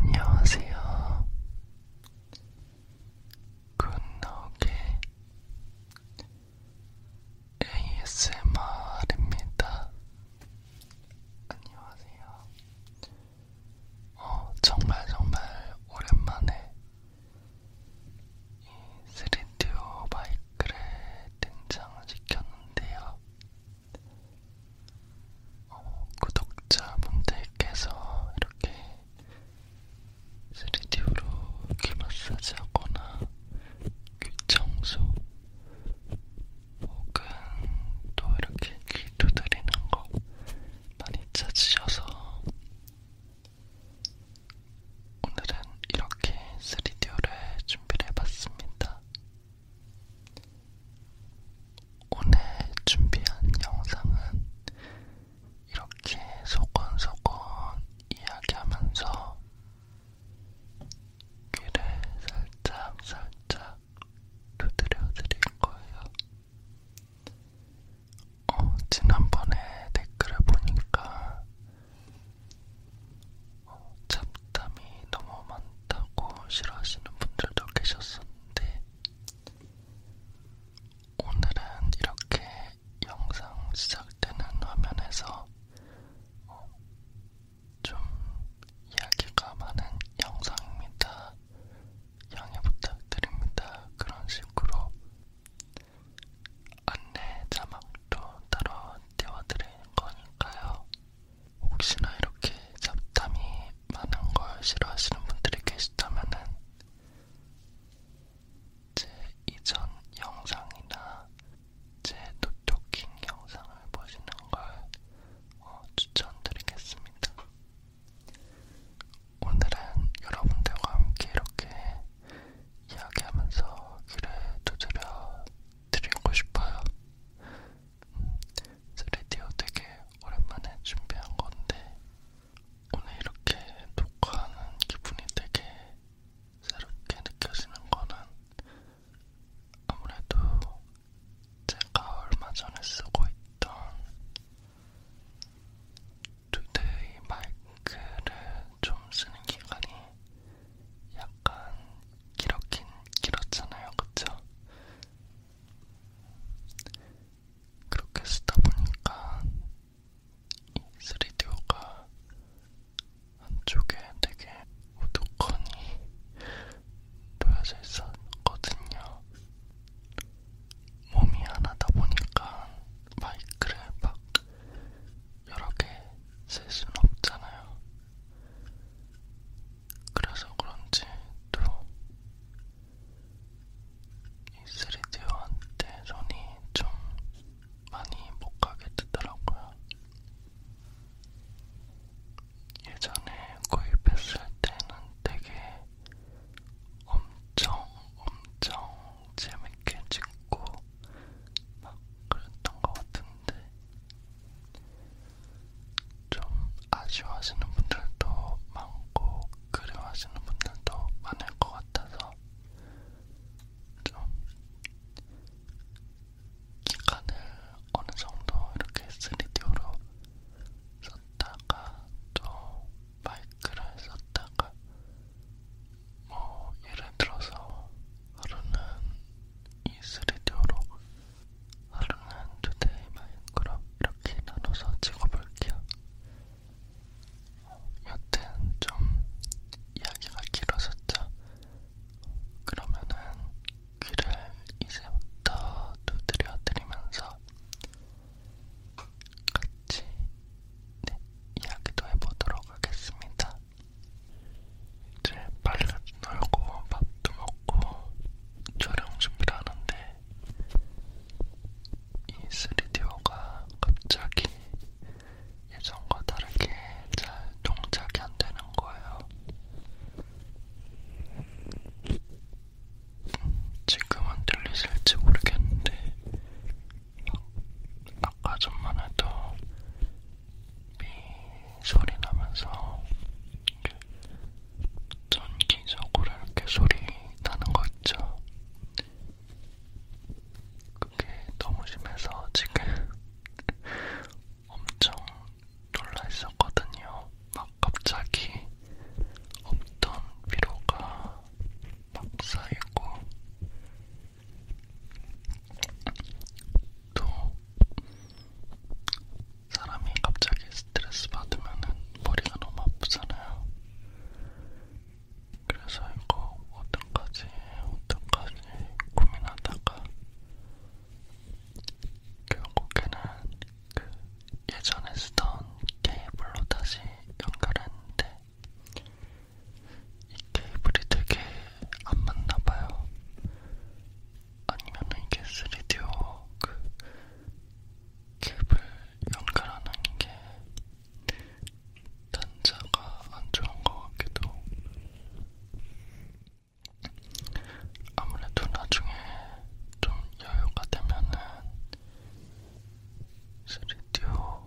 안녕하세요. 굿나오게 ASMR입니다. 안녕하세요. 어, 정말 정말 오랜만에 스리디오 마이크를 등장시켰는데요. 어, 구독자분들께서 이렇게 3D로 귀 마사지하거나 귀 청소 혹은 또 이렇게 귀 두드리는 거 많이 찾으셔서 오늘은 이렇게 3D를 준비를 해봤습니다. 오늘 준비한 영상은 이렇게 소곤소곤 이야기하면서 귀를 살짝 살짝 두드려 드릴 거예요. 어, 지난번에 댓글을 보니까 어, 잡담이 너무 많다고 싫어하시는 분들도 계셨었는데 오늘은 이렇게 영상 시작되는 화면에서 어, 좀 이야기가 많은 영상입니다. 양해 부탁드립니다. 그런 식으로 안내 자막도 따로 띄워드리는 거니까요. 혹시나 이렇게 잡담이 많은 걸 싫어하시는 분들이 계시다면은 제 이전 영상이나 제 노토킹 영상을 보시는 걸 어, 추천드리겠습니다. 오늘은 여러분들과 함께 이렇게 이야기하면서 귀를 두드려 드리고 싶어요. 음, 3D오 되게 오랜만에 준비한 건데 오늘 이렇게 녹화하는 기분이 되게 새롭게 느껴지는 거는 아무래도 제가 얼마 전에 쓰고 있던 투데이 마이크를 좀 쓰는 기간이 약간 길었긴 길었잖아요, 그쵸? 그렇게 쓰다 보니까 이 3D가 안쪽에 되게 우두커니 놓여져 있었거든요. 몸이 하나다 보니까 마이크를 막 여러 개 쓸 수는 없잖아요. 그래서 그런지 또 이 3D한테 손이 좀 많이 못 가게 되더라고요. 예전에 구입했을 때는 되게 엄청 엄청 재밌게 찍고 막 그랬던 것 같은데 좀 아쉬워하시는 분들도 많고 그리워하시는 분들도 많을 것 같아서 좀 기간을 어느 정도 이렇게 3D로 썼다가 또 마이크를 썼다가 뭐 예를 들어서 하루는 이 3D로 하루는 투데이 마인크래프트 이렇게 나눠서 찍어볼게요. 여튼 좀 이야기가 길어졌죠. 그러면은 귀를 이제부터 두드려 드리면서 같이 네, 이야기도 해보도록 하겠습니다. 이제 빨리 놀고 밥도 먹고 촬영 준비를 하는데 이 3D가 갑자기 예전과 다르게 잘 동작이 안 되는 거예요. 음, 지금은 들리실지 모르겠는데 아까 전만 해도 미 소리 나면서 전기적으로 이렇게 소리 나는 거 있죠? 그게 너무 심해서 지금 엄청 놀라 있었거든요. 막 갑자기 없던 피로가 막 쌓이고 또 사람이 갑자기 스트레스 받으면 머리가 너무 아프잖아요. 그래서 이거 어떡하지 어떡하지 고민하다가 결국에는 그 예전에 쓰던 케이블로 다시 연결했는데 이 케이블이 되게 안 맞나봐요. 아니면은 이게 3DO 그 케이블 연결하는 게 단자가 안 좋은 것 같기도. 아무래도 나중에 좀 여유가 되면은 3DO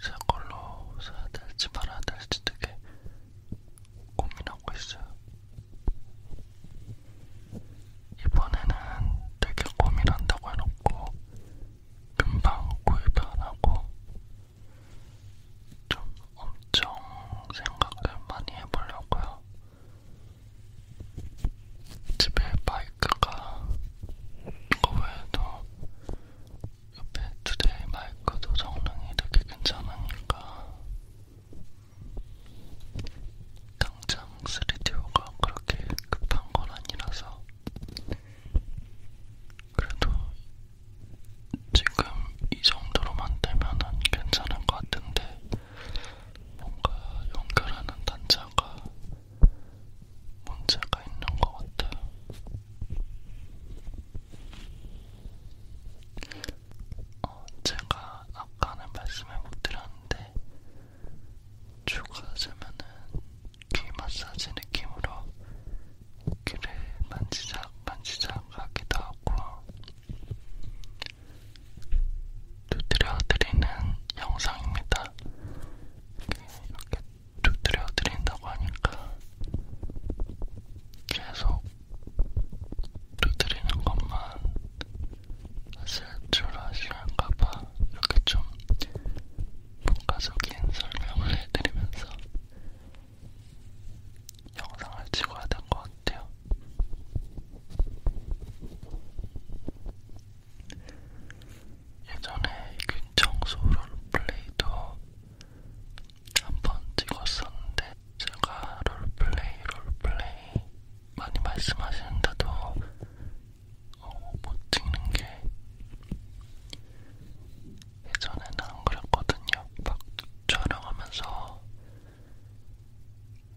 새 걸로 사야 될지 말아야 될지 되게 고민하고 있어요. 이번에는 되게 고민한다고 해놓고 금방 구입 안 하고 좀 엄청 생각을 많이 해보려고요. 집에 바이크가 이거 외에도 옆에 두 대의 마이크도 성능이 되게 괜찮으니까 당장 3DO가 그렇게 급한 건 아니라서 그래도 지금 이 정도로만 되면은 괜찮을 것 같은데 뭔가 연결하는 단자가 문제가 있는 것 같아요. 어, 제가 아까는 말씀을 못 드렸는데 추가하자면은 귀 마사지 느낌으로 귀를 만지작 만지작 하기도 하고 두드려드리는 영상입니다. 이렇게 두드려 드린다고 하니까 계속 두드리는 것만 쓸줄 아시는가봐 이렇게 좀 문과적인 설명을 해드리면서 영상을 찍어야 될 것 같아요. 예전에 균청소를 플레이도 한 번 찍었었는데 제가 롤플레이 롤플레이 많이 말씀하시는데도 어, 못 찍는 게 예전에는 안 그랬거든요. 막 촬영하면서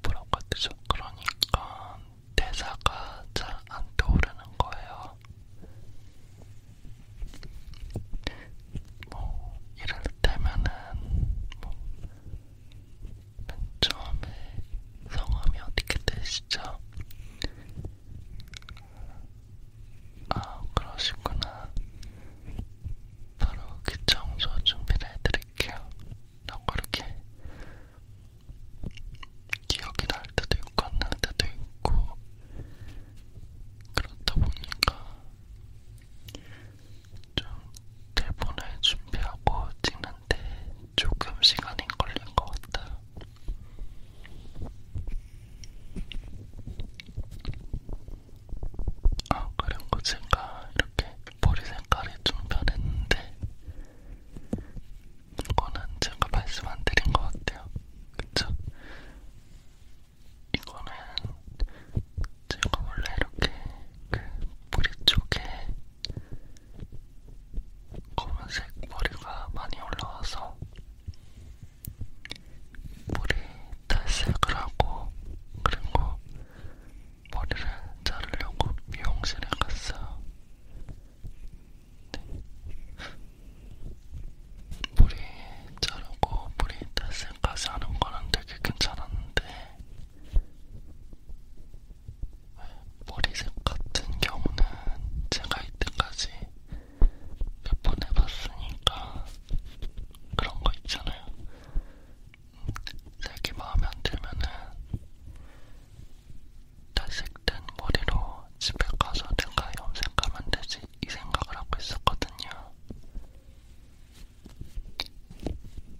뭐라고 해야 되죠? 그러니까 대사가 잘 안 떠오르는 거예요. 뭐 이를테면은 뭐맨 처음에 성함이 어떻게 되시죠? 아 그러시구나. 바로 그 청소 준비를 해드릴게요. 라고 이렇게 기억이 날 때도 있고 안날 때도 있고 그렇다 보니까 좀 대본을 준비하고 찍는데 조금 시간이 걸린 것 같아요. 아 그리고 제가 이렇게 머리 색깔이 좀 변했는데 이거는 제가 말씀 안 드린 것 같아요. 그쵸? 이거는 제가 원래 이렇게 그 머리 쪽에 검은색 머리가 많이 올라와서 머리 탈색을 하고 그리고 머리를 자르려고 미용실에 갔어요. 머리 네. 자르고 머리 탈색까지 하는 거는 되게 괜찮았는데 네, 머리색 같은 경우는 제가 이때까지 몇 번 해봤으니까 그런 거 있잖아요. 음, 색이 마음에 안 들면은 탈색된 머리로 집에 가서 내가 염색하면 되지 이 생각을 하고 있었거든요.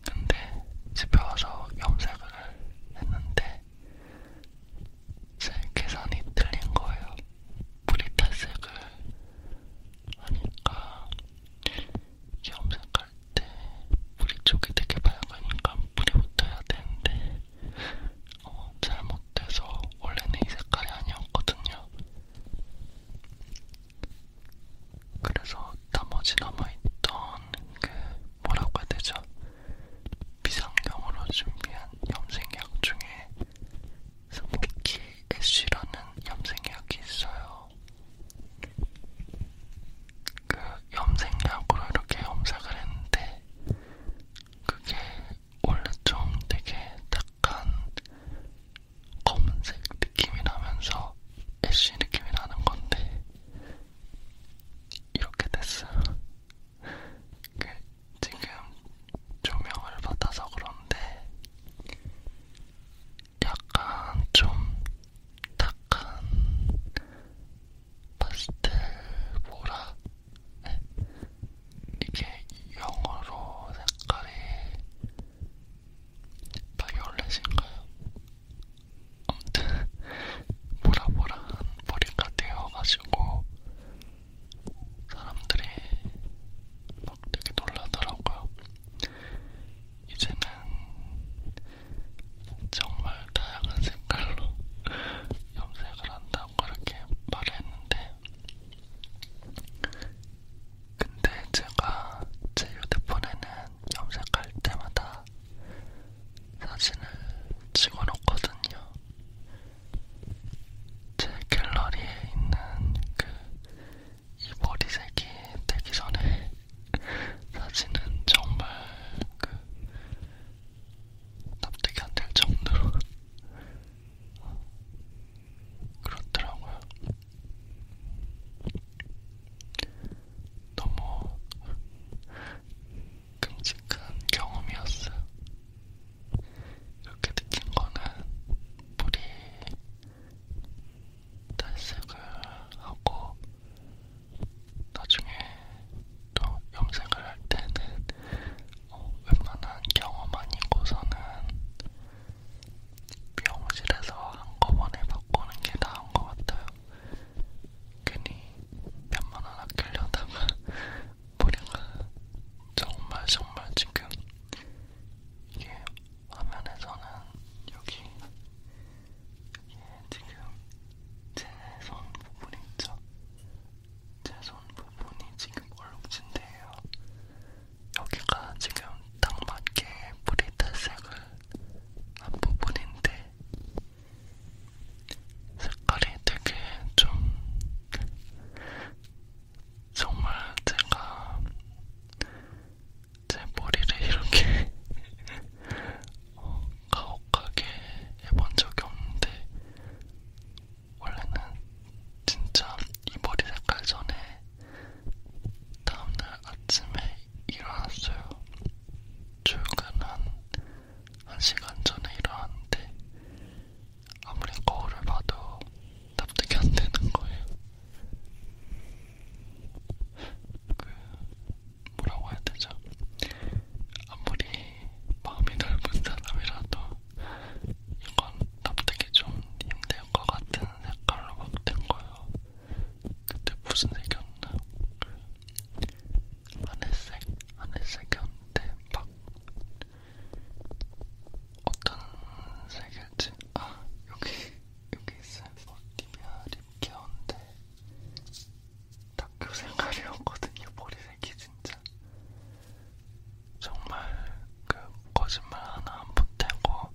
근데 집에 와서 염색을 했는데 제 계산이 틀린 거예요. 뿌리 탈색을 하니까 염색할 때 뿌리 쪽이 되게 밝으니까 뿌리부터 해야 되는데 어, 잘못돼서 원래는 이 색깔이 아니었거든요. 그래서 나머지 남아있던 그 뭐라고 해야 되죠? 비상용으로 준비한 염색약 중에 스모키 애쉬라는 염색약이 있어요. 그 염색약으로 이렇게 염색을 했는데 그게 원래 좀 되게 딱한 검은색 느낌이 나면서 애쉬 느낌이 나는 건데 이렇게 됐어요. 그 지금 조명을 받아서 그런데 약간 좀 탁한 파스텔 보라 네. 이게 영어로 색깔이 바이올렛인가요? 아무튼 보라보라한 머리가 되어가지고 사람들이 막 되게 놀라더라고요. 이제는 정말 다양한 색깔로 염색을 한다고 그렇게 말했는데 근데 제가 제 휴대폰에는 염색할 때마다 사진을 찍어놓거든요. 제 갤러리에 있는 그 이 머리색이 되기 전에 사진은 정말 그 납득이 안 될 정도로 그렇더라고요. 너무 끔찍한 경험이었어요. 이렇게 느낀 거는 뿌리 탈색을 하고 나중에 또 염색을 할 때는 어, 웬만한 경험 아니고서는 미용실에서 한꺼번에 바꾸는 게 나은 것 같아요. 괜히 몇만 원 아끼려다가 보니까 정말 정말 지금 이게 화면에서는 여기 이게 지금 제 손 부분 있죠? 제손 부분이 지금 얼룩진데요. 여기가 지금 딱 맞게 뿌리탈색을 한 부분인데 색깔이 되게 좀 정말 제가 제 머리를 이렇게 어, 가혹하게 해본 적이 없는데 원래는 진짜 이 머리 색깔 전에 다음날 아침에 일어났어요. 출근한 1시간 전에 일어났는데 아무리 거울을 봐도 납득이 안 되는 거예요. 그 뭐라고 해야 되죠? 아무리 마음이 넓은 사람이라도 이건 납득이 좀 힘들 것 같은 색깔로 막 된 거예요. 그때 무슨 색이었나? 그 하늘색, 하늘색이었는데 막 어떤 색일지 아 여기 여기 있어요. 디비아 뭐, 립케어인데 학교 생활이었거든요. 머리색이 진짜 정말 그 거짓말 하나 안 보태고 요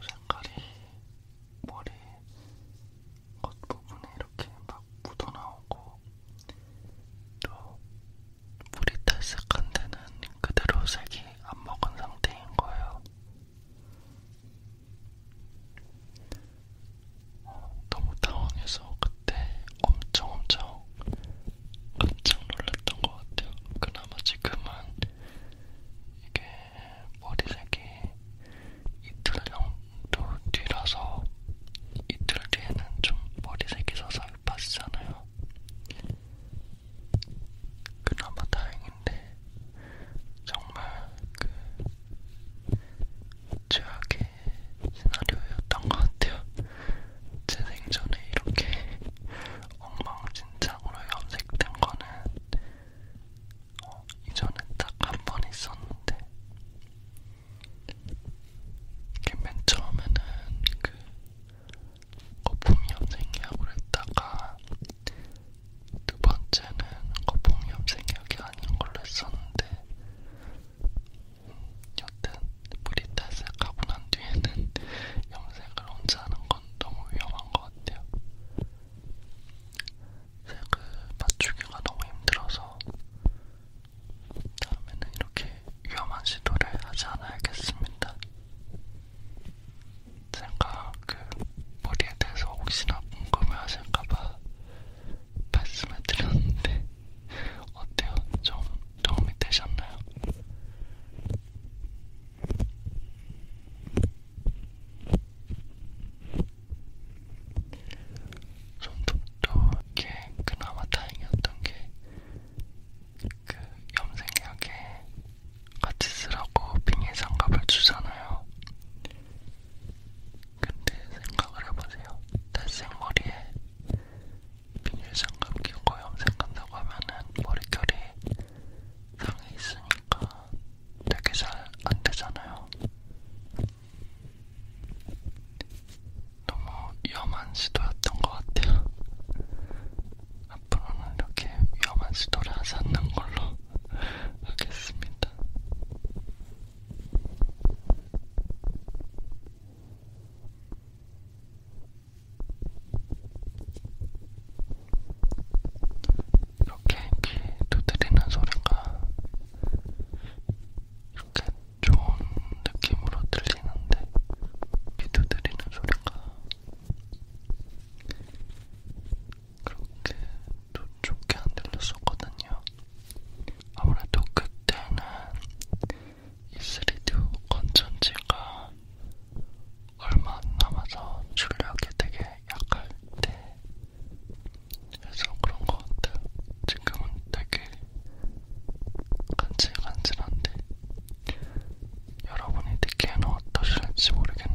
색깔이 머리 겉부분에 이렇게 막 묻어나오고 또 물이 탈색한 데는 그대로 색이 안 먹은 상태인 거예요. 어, 너무 당황해서 그때 엄청 엄청 깜짝 놀랐던 것 같아요. 그나마 지금은 이게 머리색이 이틀 정도 뒤라서 이틀 뒤에는 좀 머리색이 서서히 빠지잖아요. 그나마 다행인데 정말 그 최악의 시나리오였던 것 같아요. 제 생전에 이렇게 엉망진창으로 염색된 거는 어, 이전에 딱 한 번 있었는데 이게 맨 처음에는 그 거품 염색약으로 했다가 두 번째는 거품 염색약이 아닌 걸로 했었는데 여튼 브리탓을 가고 난 뒤에는 염색을 혼자 하는 건 너무 위험한 것 같아요. 색을 맞추기가 너무 힘들어서 다음에는 이렇게 위험한 시도를 하지 않아야겠습니다. 제가 그 머리에 대해서 혹시나 궁금해하실까봐 말씀을 드렸는데 어때요? 좀 도움이 되셨나요? 손톱도 이렇게 그나마 다행이었던 게 그 염색약에 같이 쓰라고 빙의 장갑을 주잖아요. 근데 생각을 해보세요. 탈색머리에 비닐장갑 끼고 염색한다고 하면은 머릿결이 상해 있으니까 되게 잘 안 되잖아요. 너무 위험한 시도였던 것 같아요. 앞으로는 이렇게 위험한 시도를 하지 않는 걸로 하겠습니다. 이렇게 귀 두드리는 소리가 이렇게 좋은 느낌으로 들리는데 귀 두드리는 소리가 그렇게 또 좋게 안 들렸었거든요. 아무래도 그때는 이 3D 건전지가 얼마 안 남아서 출력이 되게 약할 때 그래서 그런 것 같아요. 지금은 되게 간질간질한데 여러분이 느끼에는 어떠실지 모르겠네요.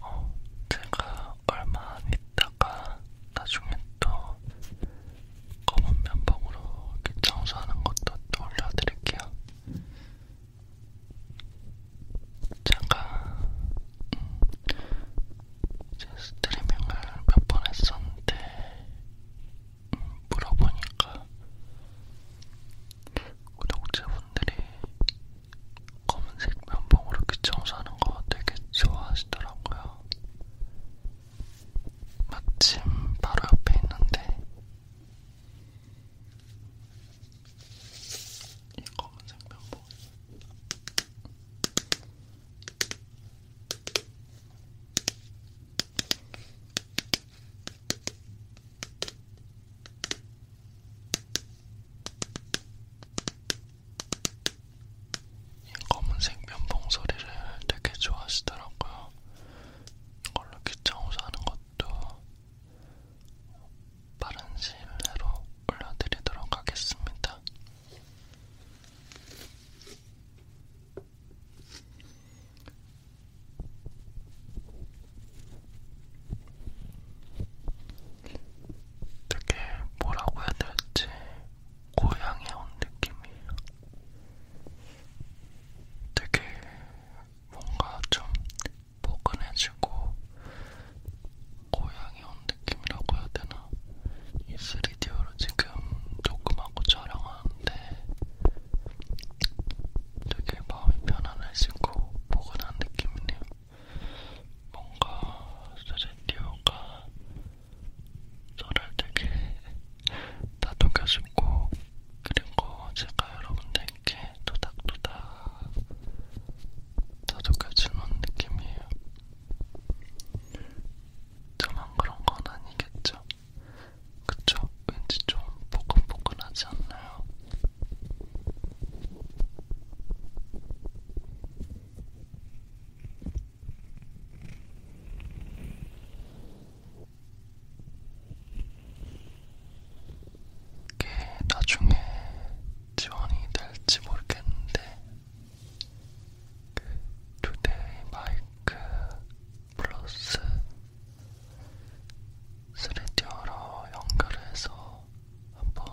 어, 제가 얼마 안 있다가 나중에 또 검은 면봉으로 이렇게 청소하는 것도 또 올려드릴게요. 제가 음, 이제 스트리밍을 몇 번 했었는데 음, 물어보니까 구독자분들이 검은색 면봉으로 귀 청소하는 거 되게 좋아하시더라고요. 마침 바로 옆에 있는데 이 검은색 면봉 검은색 면봉 소리를 되게 좋아하시더라고요. 이걸로 귀청소 하는 것도 빠른 시일 내로 올려드리도록 하겠습니다. 되게 뭐라고 해야 될지 고향에 온 느낌이에요. 되게 뭔가 좀 포근해지고 고향에 온 느낌이라고 해야 되나? 이 3D로 지금 녹음하고 촬영하는데 되게 마음이 편안해지고 포근한 느낌이네요. 뭔가 스튜디오가 저를 되게 다독여주고 그리고 제가 여러분들께 도닥도닥 다독여주는 느낌이에요. 저만 그런 건 아니겠죠? 그쵸? 왠지 좀 포근포근하지 않나요? 이게 나중에 지원이 될지 모르겠는데 그 투데이 마이크 플러스 3D로 연결해서 한번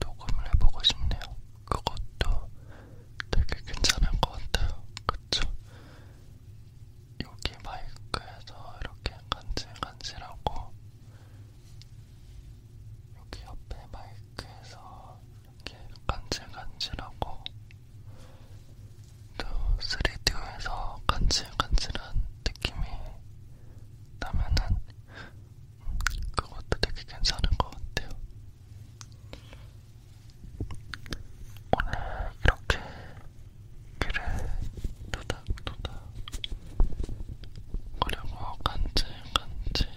녹음을 해보고 싶네요. 그것도 되게 괜찮은 것 같아요. 그쵸? 여기 마이크에서 이렇게 간질간질하고 여기 옆에 마이크에서 이렇게 간질간질하고 또 3D에서 간질간질한 느낌이 나면은 그것도 되게 괜찮을 것 같아요. 오늘 이렇게 귀를 도닥도닥 그리고 간질간질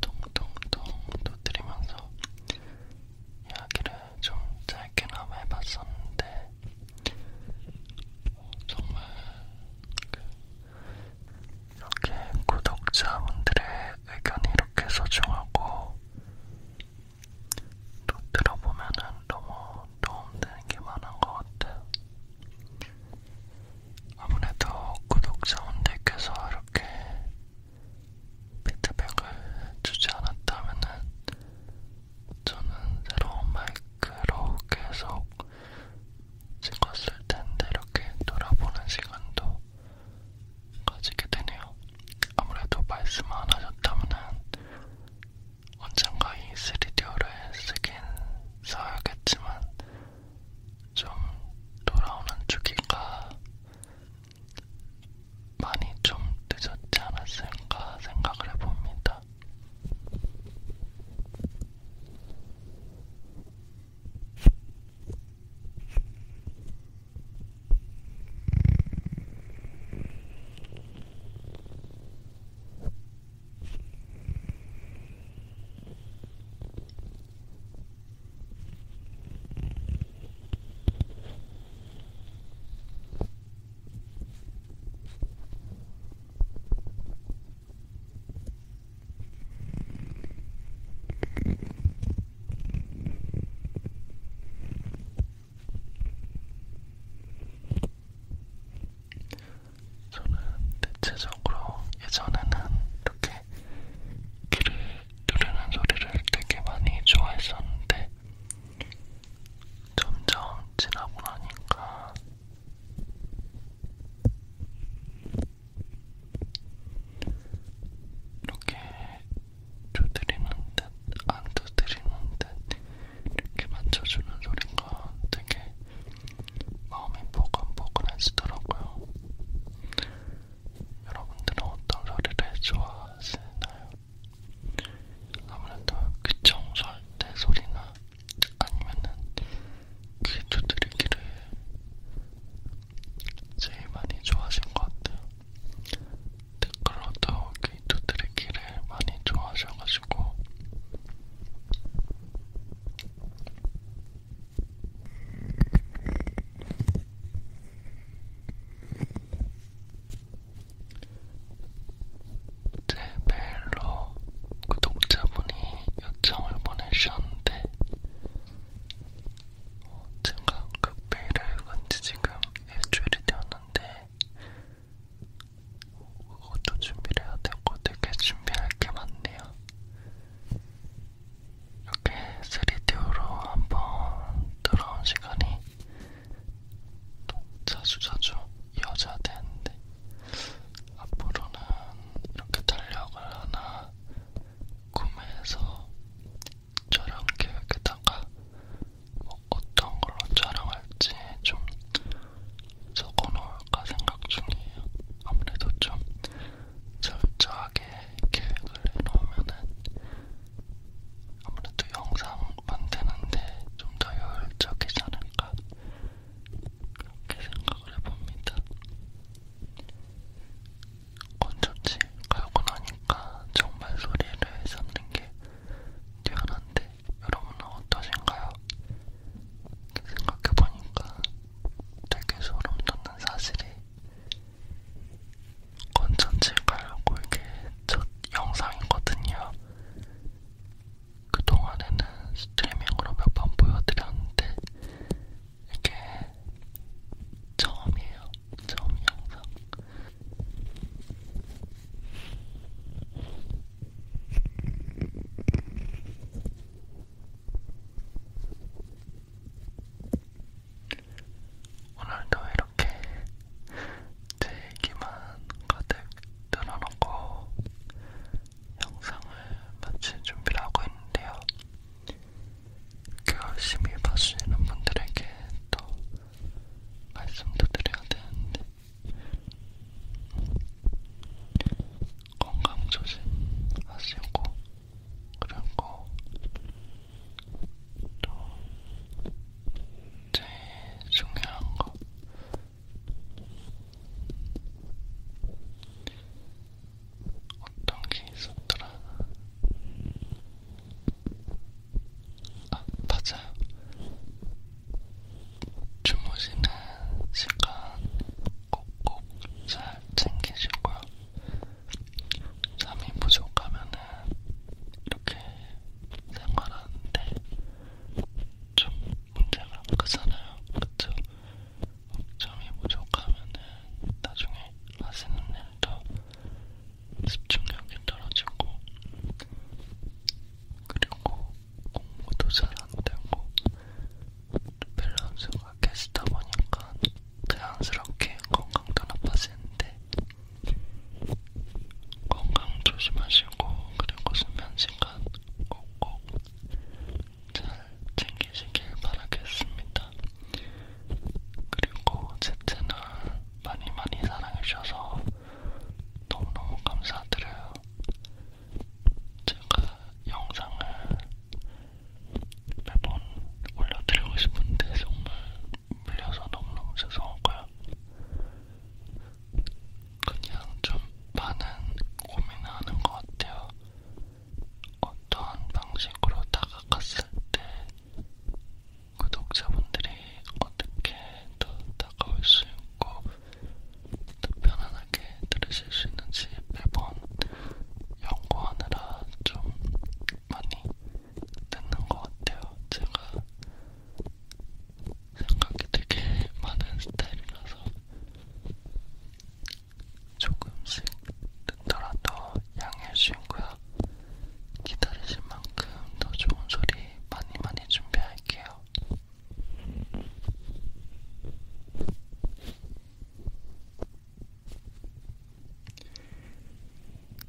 동동동 두드리면서 이야기를 좀 짧게나마 해봤었는데 정말 그 이렇게 구독자분들의 의견이 이렇게 소중하고 또 들어보면은 너무 도움되는 게 많은 것 같아요. 아무래도 구독자분들께서 이렇게 피드백을 주지 않았다면은 저는 새로운 마이크로 계속 찍었을 텐데 이렇게 돌아보는 시간도 가지게 되네요. 아무래도 말씀 안 하셨다면은 언젠가 이 3D를 쓰긴 써야겠지만 좀 돌아오는 주기가 많이 좀 늦었지 않았을까 생각을 해봅니다. 저는 대체적으로 예전에는 이렇게 귀를 누르는 소리를 되게 많이 좋아했었는데 점점 지나고 나니까 이렇게 두드리는 듯 안 두드리는 듯 이렇게 만져주는 소리가 되게 마음이 보근보근해지더라고요. 여러분들은 어떤 소리를 좋아하시나요? 아무래도 귀 청소할 때 소리나 아니면은 귀 두드리기를 제일 많이 좋아하신 것 같아요. 댓글로도 귀 두드리기를 많이 좋아하셔가지고 제 네, 메일로 구독자분이 요청을 보내주셨는데 어, 제가 그 메일을 건지 지금 일주일이 되었는데 그것도 준비를 해야 되고 되게 준비할 게 많네요. 이렇게 3D로 한번 들어온 시간이 자주 자주 이어져야 되는데 앞으로는 이렇게 달력을 하나 구매해서 촬영 계획에다가 뭐 어떤 걸로 촬영할지 좀 적어놓을까 생각 중이에요. 아무래도 좀 철저하게 계획을 해놓으면은 아무래도 영상 만드는데 좀더 효율적이지 않을까 그렇게 생각을 해봅니다. 건조지 갈고 나니까 정말 소리를 잡는 게 뛰어난데 여러분은 어떠신가요? 생각해보니까 되게 소름 돋는 사실이 컨텐츠 가려고 이게 첫 영상이거든요. 그동안에는 스트리밍으로 몇 번 보여드렸는데 이게 처음이에요. 처음 영상. 오늘도 이렇게 제 얘기만 가득 들어놓고 영상을 마칠 준비를 하고 있는데요. 열심히 봐주시는 분들에게 또 말씀도 드려야 되는데 건강 조심하시고 그리고 또 제일 중요한 거 어떤 게 있었더라? 아 맞아요. 주무시는 시간 꼭꼭 잘 챙기시고요. 잠이 부족하면은 이렇게 생활하는데 좀 문제가 크잖아요. 그쵸? 점이 부족하면은 나중에 하시는 일도 집중력이 떨어지고 그리고 공부도 잘 안 되고 밸런스가 깨지다 보니까 자연스럽게 건강도 나빠지는데 건강 조심하시고 그리고 수면 시간 꼭꼭 잘 챙기시길 바라겠습니다. 그리고 제 채널 많이 많이 사랑해주셔서 너무너무 감사드려요. 제가 영상을 매번 올려드리고 싶은데 정말 물려서 너무너무 죄송하고요. 그냥 좀 많은 고민을 하는 것 같아요. 어떤 방식으로 다가갔을 때 구독자분들이 어떻게 더 다가올 수 있고 더 편안하게 들으실 수 있는지 매번 연구하느라 좀 많이 듣는 것 같아요. 제가 생각이 되게 많은 스타일이라서 조금씩 듣더라도 양해해 주시고요. 기다리실 만큼 더 좋은 소리 많이 많이 준비할게요.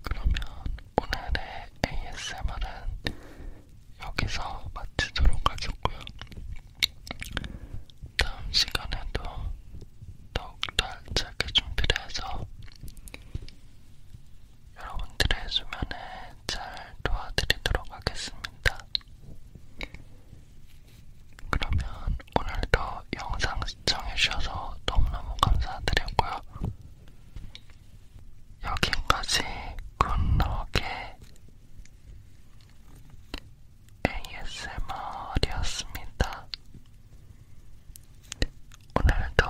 그러면 오늘의 ASMR은 여기서 마치도록 하겠고요. 다음 시간에도 더욱더 알차게 준비를 해서 여러분들의 수면에 잘 도와드리도록 하겠습니다. 그러면 오늘도 영상 시청해주셔서 너무너무 감사드리고요. 여긴까지 굿럭의 ASMR이었습니다. 오늘도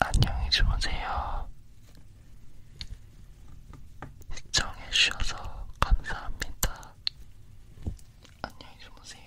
안녕히 주무세요. 시청해주셔서 감사합니다. 안녕히 주무세요.